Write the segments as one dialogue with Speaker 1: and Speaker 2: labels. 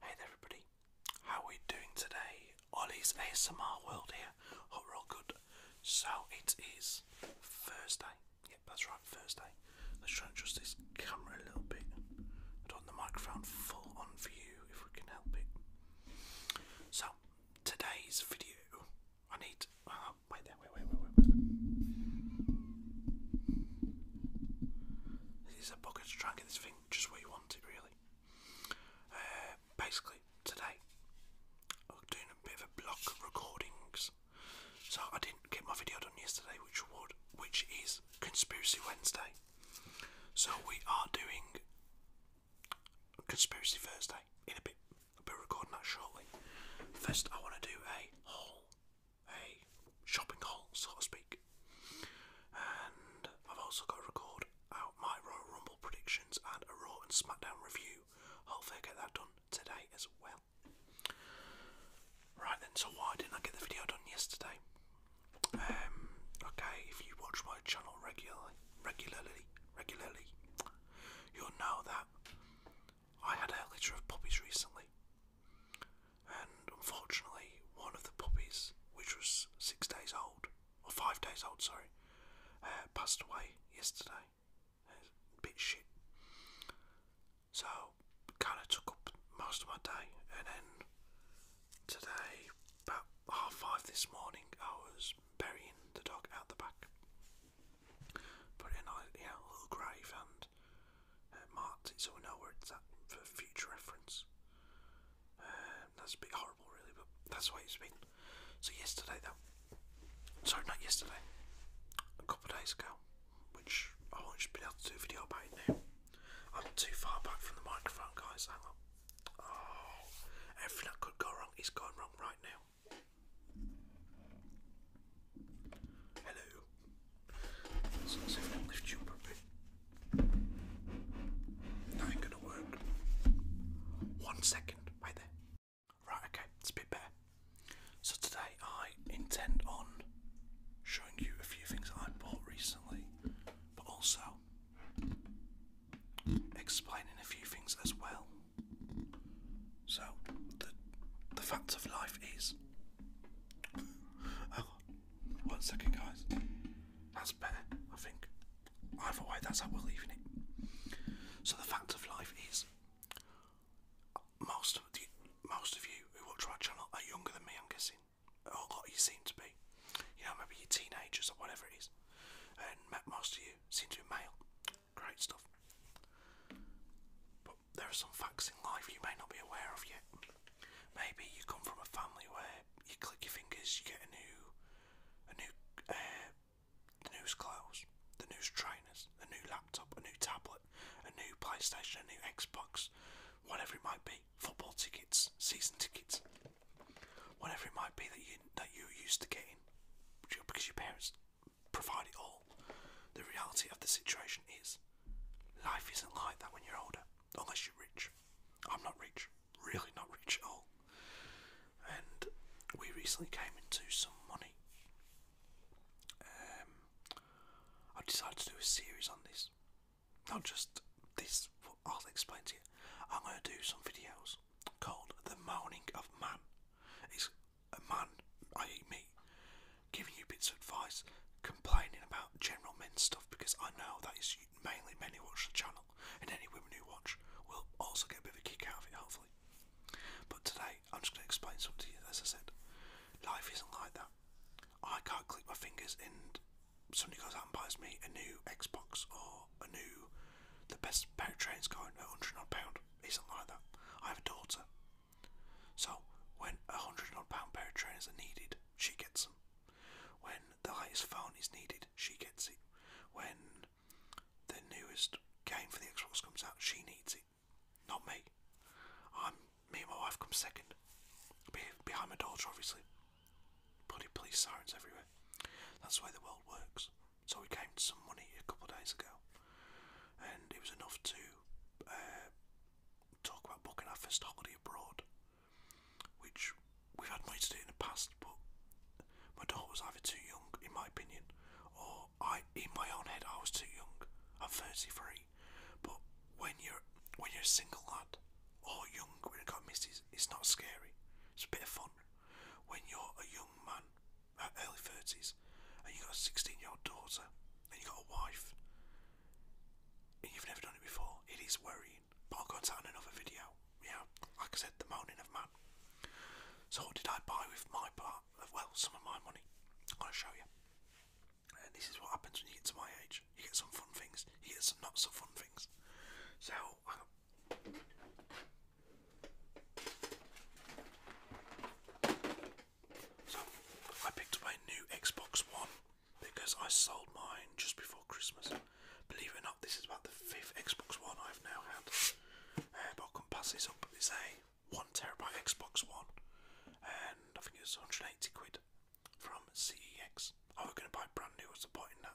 Speaker 1: Hey there everybody, how are we doing today? Ollie's ASMR World here, all good. So it is Thursday, yep that's right, Thursday. Let's try and adjust this camera a little bit. I the microphone full on for you if we can help it. So today's video, I need, uh, wait there, wait, wait, wait, wait. This is a bugger to try and get this thing just where you want it, really. Uh, basically, today, I'm doing a bit of a block of recordings. So I didn't get my video done yesterday, which would, which is Conspiracy Wednesday. So we are doing Conspiracy Thursday in a bit. I'll be recording that shortly. First, I want to do a haul, a shopping haul, so to speak. And I've also got to record out my Royal Rumble predictions and a Raw and SmackDown review. Hopefully, get that done today as well. Right then, so why didn't I get the video done yesterday? Um, okay, if you watch my channel regularly, regularly, regularly, you'll know that I had a litter of puppies recently, and unfortunately, one of the puppies, which was six days old, or five days old, sorry, uh, passed away yesterday. bit shit. So, kind of took up most of my day, and then today, about half five this morning, I was burying the dog out the back put in a little grave and uh, it so we know where it's at for future reference. Um, that's a bit horrible, really, but that's the way it's been. So yesterday, though, sorry, not yesterday, a couple of days ago, which I won't just be able to do a video about it now. I'm too far back from the microphone, guys. Hang on. Oh, everything that could go wrong is going wrong right now. Hello. So let's see if gonna work. One second, right there. Right, okay, it's a bit better. So today I intend on showing you a few things I bought recently, but also explaining a few things as well. So the the fact of life is. Oh, one second, guys. That's better, I think. Either way, that's how we're So the fact of life is, most of the, most of you who watch our channel are younger than me. I'm guessing, a lot you seem to be. You know, maybe you teenagers or whatever it is, and most of you seem to be Great stuff. But there are some facts in life you may not be aware of yet. Maybe you come from a family where you click your fingers, you get a new, a new, uh, the news clothes, the news trainers, a new laptop, a new tablet, a new PlayStation, a new Xbox, whatever it might be, football tickets, season tickets, whatever it might be that you that you used to getting because your parents provide it all. The reality of the situation is life isn't like that when you're older, unless you're rich. I'm not rich, really not rich at all. And we recently came into some money. Um, I've decided to do a series on this. Not just this, I'll explain to you. I'm going to do some videos called The Moaning of Man a man, i.e., me, giving you bits of advice, complaining about general men's stuff because I know that is mainly men who watch the channel, and any women who watch will also get a bit of a kick out of it, hopefully. But today, I'm just going to explain something to you. As I said, life isn't like that. I can't click my fingers and somebody goes out and buys me a new Xbox or a new, the best pair of trains going at 100 odd pound isn't like that. I have a daughter. So, when a hundred odd pair of trainers are needed, she gets them. When the latest phone is needed, she gets it. When the newest game for the Xbox comes out, she needs it. Not me. I'm me and my wife come second. behind my daughter, obviously. Bloody police sirens everywhere. That's the way the world works so we came to some money a couple of days ago, and it was enough to uh, talk about booking our first holiday abroad, which we've had money to do in the past, but my daughter was either too young, in my opinion, or I, in my own head, I was too young. I'm 33, but when you're when you're a single lad or young, when you've got misses, it's not scary. It's a bit of fun. When you're a young man early 30s, and you've got a 16 year old daughter, and you've got a wife, and you've never done it before, it is worrying. But I'll go into that in another video. Yeah, like I said, the moaning of man. So, what did I buy with my part? of Well, some of my money. I'm going to show you. And this is what happens when you get to my age. You get some fun things, you get some not so fun things. So, so, I picked up a new Xbox One because I sold mine just before Christmas. Believe it or not, this is about the fifth Xbox One I've now had. Uh, but I can up. It's a one terabyte Xbox One, and I think it 180 quid from CEX. I oh, was going to buy brand new. What's the point in that.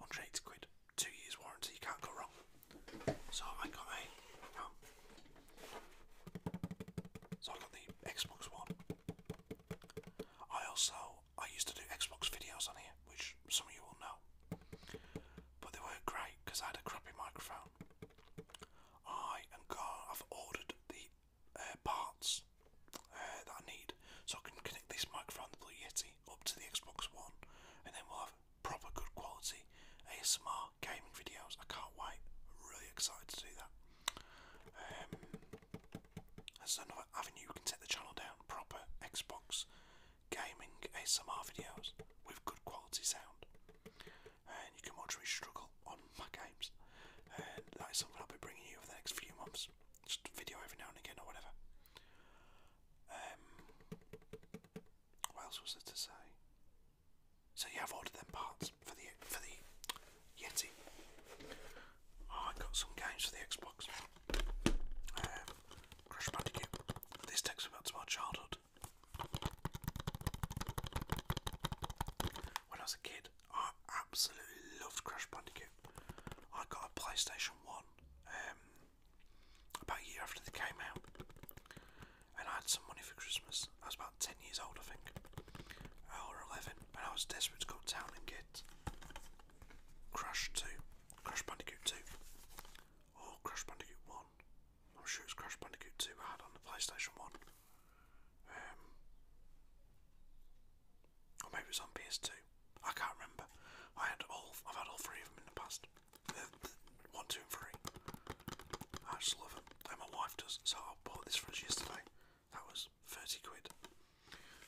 Speaker 1: on 180 quid, two years warranty, you can't go wrong. So I got got the Xbox One. I also I used to do Xbox videos on here, which some of you will know. But they were great because I had a crappy microphone. I am I've ordered the uh, parts uh, that I need so I can connect this microphone to the Yeti up to the Xbox One, and then we'll have proper good quality ASMR gaming videos. I can't wait. I'm really excited to do that. Um, that's another avenue you can take the channel down. Proper Xbox gaming ASMR videos with good quality sound, and you can watch me struggle on my games. And that is something I'll be bringing you over the next few months. Just video every now and again or whatever. Um, what else was there to say? So yeah, have ordered them parts for the for the Yeti. Oh, I got some games for the Xbox. Um, Crash Bandicoot. This takes me back to my childhood. When I was a kid, I absolutely loved Crash Bandicoot. I got a PlayStation One. Um, about a year after they came out. And I had some money for Christmas. I was about 10 years old, I think, or 11, and I was desperate to go to town and get Crash 2, Crash Bandicoot 2, or Crash Bandicoot 1. I'm sure it's Crash Bandicoot 2 I had on the PlayStation 1. Um, or maybe it's on PS2. I can't remember. I had all I've had all three of them in the past. One, two and three. I just love them. And my wife does, so I bought this for us yesterday. That was 30 quid.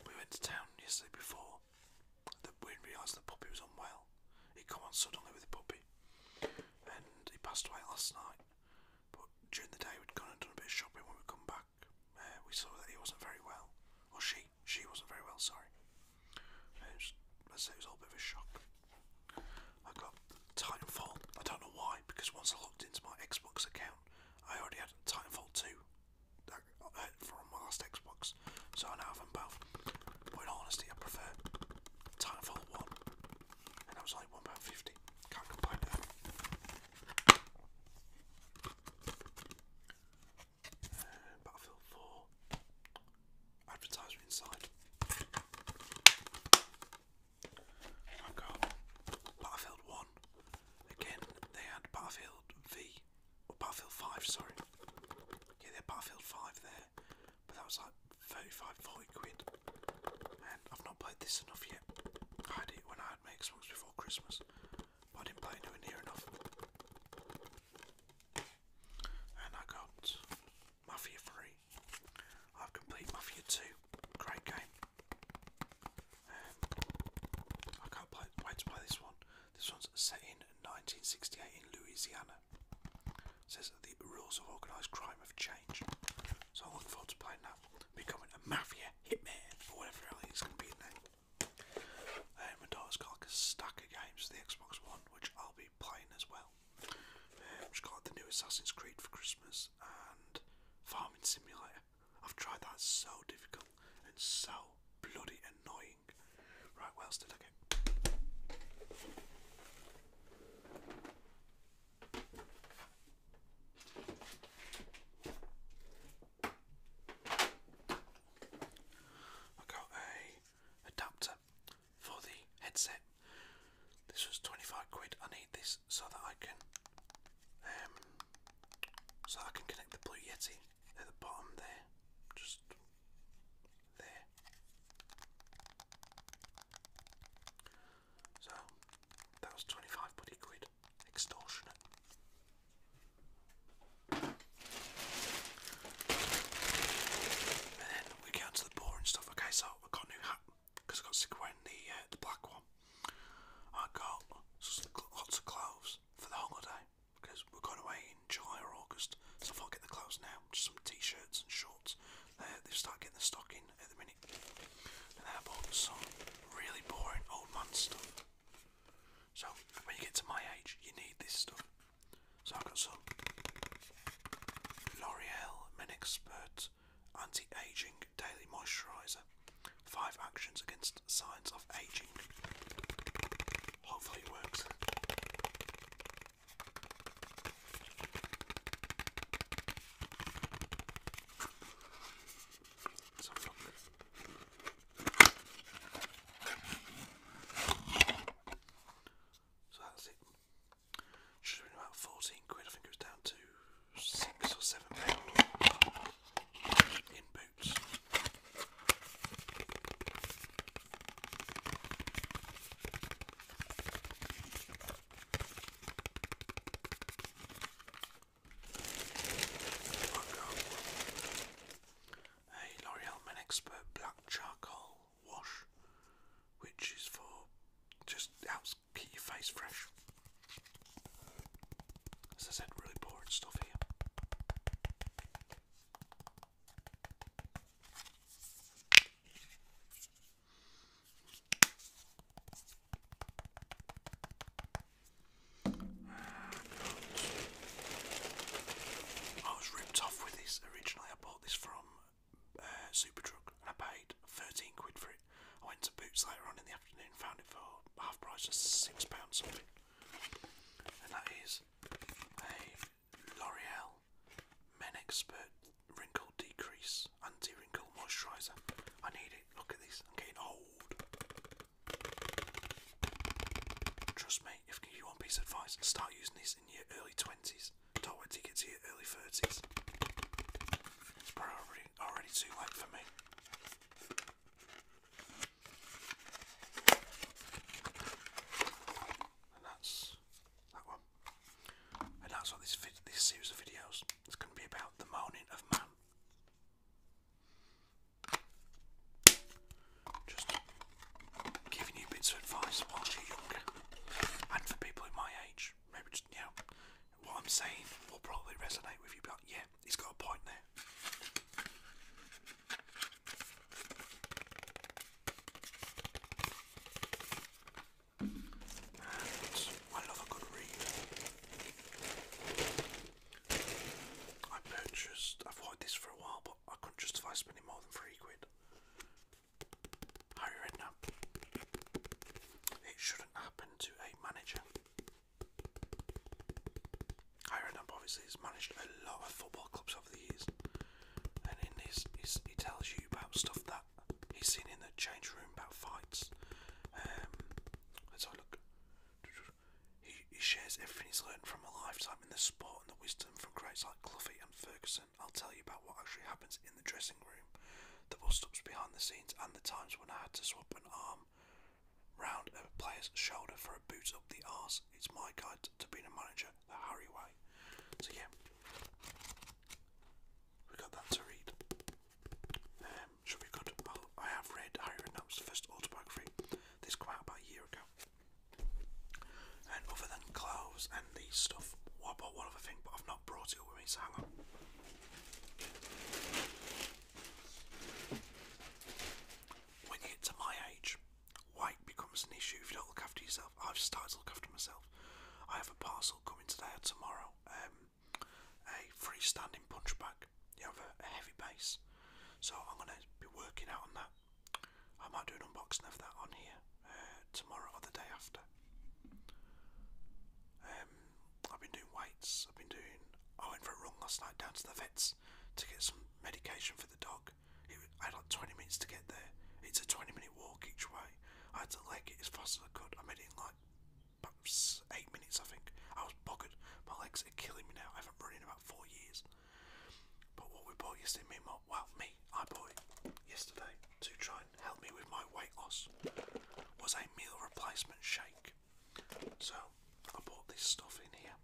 Speaker 1: We went to town yesterday before. The, we realised the puppy was unwell. he came on suddenly with a puppy. And he passed away last night. But during the day, we'd gone and done a bit of shopping. When we come back, uh, we saw that he wasn't very well. Or she she wasn't very well, sorry. It was, let a bit of a shock. I got Titanfall. I don't know why, because once I logged into my Xbox account, I already had Titanfall 2 uh, from my last Xbox, so I now have them both. But in I prefer Titanfall 1, and that was only £1.50. Can't complain Battlefield 4. Advertiser inside. I've got Battlefield 1. Again, they had Battlefield V. Or Battlefield 5, sorry. Yeah, they had Battlefield 5 there. But that was like 35, quid. And I've not played this enough yet. I had it when I had my Xbox before Christmas. I didn't play into it near enough. And I got Mafia 3. I've completed Mafia 2. Great game. Um, I can't wait to play this one. This one's set in 1968 in Louisiana. says the rules of organised crime have changed. So I'm looking forward to playing that. Becoming a mafia hitman or whatever the hell it's going to be in there. Uh, my daughter's got like a stack of games for the Xbox One, which I'll be playing as well. Um, she got the new Assassin's Creed for Christmas and Farming Simulator. I've tried that, so difficult and so bloody annoying. Right, what else did I get? I got a adapter for the headset. This was 25 quid. I need this so that I can um so I can connect the Blue Yeti at the bottom there. Just there. So that was 25 buddy quid extortionate. And then we get to the boring stuff. Okay, so I got new hat because I got sick the, uh, the black one. I got lots of clothes for the holiday because we're going away in July or August, so i get the clothes now. Just some t-shirts and shorts. Uh, they've getting the stock at the minute. And I bought some really boring old man so when you get to my age, you need this stuff. So I've got some L'Oreal Men Expert Anti-Aging Daily Moisturiser. Five actions against signs of aging. Hopefully it works. let look. So that's it. Should have been about 14 quid, I think it was down to 6 or 7 pounds in boots a L'Oreal Men Expert Black Charcoal Wash, which is for just helps keep your face fresh. As I said, really boring stuff here. I was ripped off with this originally. I bought this from uh, Superdrug and I paid 13 quid for it. I went to Boots later on in the afternoon and found it for half price, just £6 something. And that is a L'Oreal Men Expert Wrinkle Decrease Anti Wrinkle Moisturiser. I need it. Look at this. I'm getting old. Trust me, if I give you one piece of advice, start using this in your early 20s. Don't wait to get to your early 30s. It's probably already, too late for me. And that's that one. And that's what this, this series of videos is going to be about the moaning of man. Just giving you bits of advice whilst you're young, and for people in my age, maybe just yeah, what I'm saying will probably resonate with you. But yeah, he's got a point there. And I love a good read. I purchased, I've had this for a while, but I couldn't justify spending more than three quid. Harry Redknapp. It shouldn't happen to a manager. Harry Redknapp obviously has managed a lot of football clubs over the years, and in this, he tells you about stuff that he's seen in the change room about fights. Um, let's have a look. He, shares everything he's learned from a lifetime in the sport and the wisdom from greats like Cluffy and Ferguson. I'll tell you about what actually happens in the dressing room, the bust-ups behind the scenes, and the times when I had to swap an arm round a player's shoulder for a boot up the arse. It's my guide to being a manager, the Harry way. So yeah, we got that to read. Um, should be good. Well, I have read Harry Redknapp's first autobiography. This came about a year ago. And other than clothes and these stuff, well, I one other thing, but I've not brought it with me, hang on. When you get to my age, weight becomes an issue if you don't look after yourself. I've started to look after myself. I have a parcel coming today or tomorrow. Um, a freestanding punch bag. You have a, heavy base. So I'm going to be working out on that. I might do an unboxing of that on here uh, tomorrow or the day after. Um, I've been doing weights. I've been doing. I went for a run last night down to the vets to get some medication for the dog. I had like 20 minutes to get there. It's a 20 minute walk each way. I had to leg it as fast as I could. I made it in like eight minutes, I think. I was buggered. My legs are killing me now. I haven't run in about four years. But what we bought yesterday, well, me, I bought yesterday to try and help me with my weight loss, was a meal replacement shake. So I bought this stuff in here.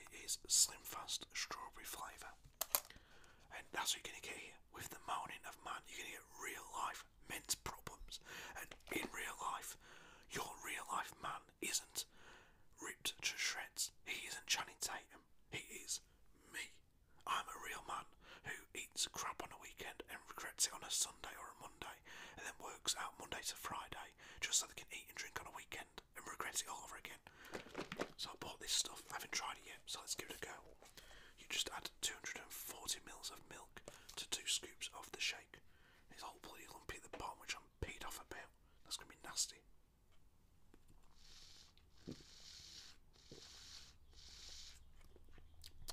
Speaker 1: It is Slimfast Strawberry Flavour. And that's what you're going to get here. With the morning of man, you're going to get real life men's problems, and in real life, your real life man isn't ripped to shreds. He isn't Channing Tatum. He is me. I'm a real man who eats crap on a weekend and regrets it on a Sunday or a Monday, and then works out Monday to Friday just so they can eat and drink on a weekend and regret it all over again. So I bought this stuff. I haven't tried it yet, so let's give it a go. You just add 240 mils of milk to two scoops of the shake. His whole bloody lumpy at the bottom, which I'm paid off about. That's gonna be nasty.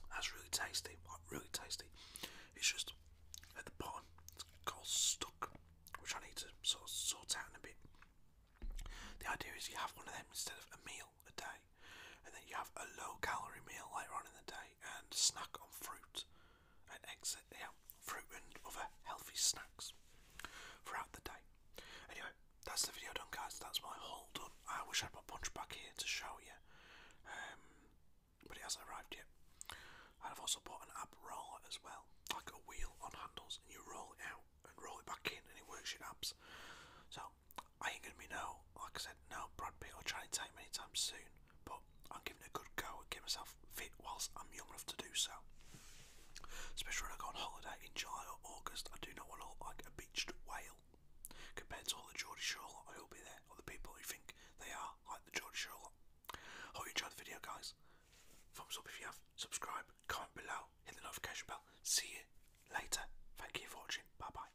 Speaker 1: That's really tasty. What really tasty? It's just at the bottom. It's called stuck, which I need to sort sort out in a bit. The idea is you have one of them instead of a meal a day, and then you have a low-calorie meal later on in the day and snack on fruit and exit yeah, fruit and other healthy snacks throughout the day. Anyway, that's the video done guys, that's my haul done. I wish I had my punch back here to show you. Um, but it hasn't arrived yet. I've also bought an ab roller as well, like a wheel on handles, and you roll it out and roll it back in, and it works your abs. So I ain't gonna be no, like I said, no Brad Pitt or Channing Tatum anytime soon but I'm giving it a good go and get myself fit whilst I'm young enough to do so. Especially when I go on holiday in July or August, I do not want to look like a beached whale compared to all the George Shore lot who will be there, or the people who think they are like the Geordie Shore Hope you enjoyed the video, guys. Thumbs up if you have, subscribe, comment below, hit the notification bell. See you later. Thank you for watching. Bye bye.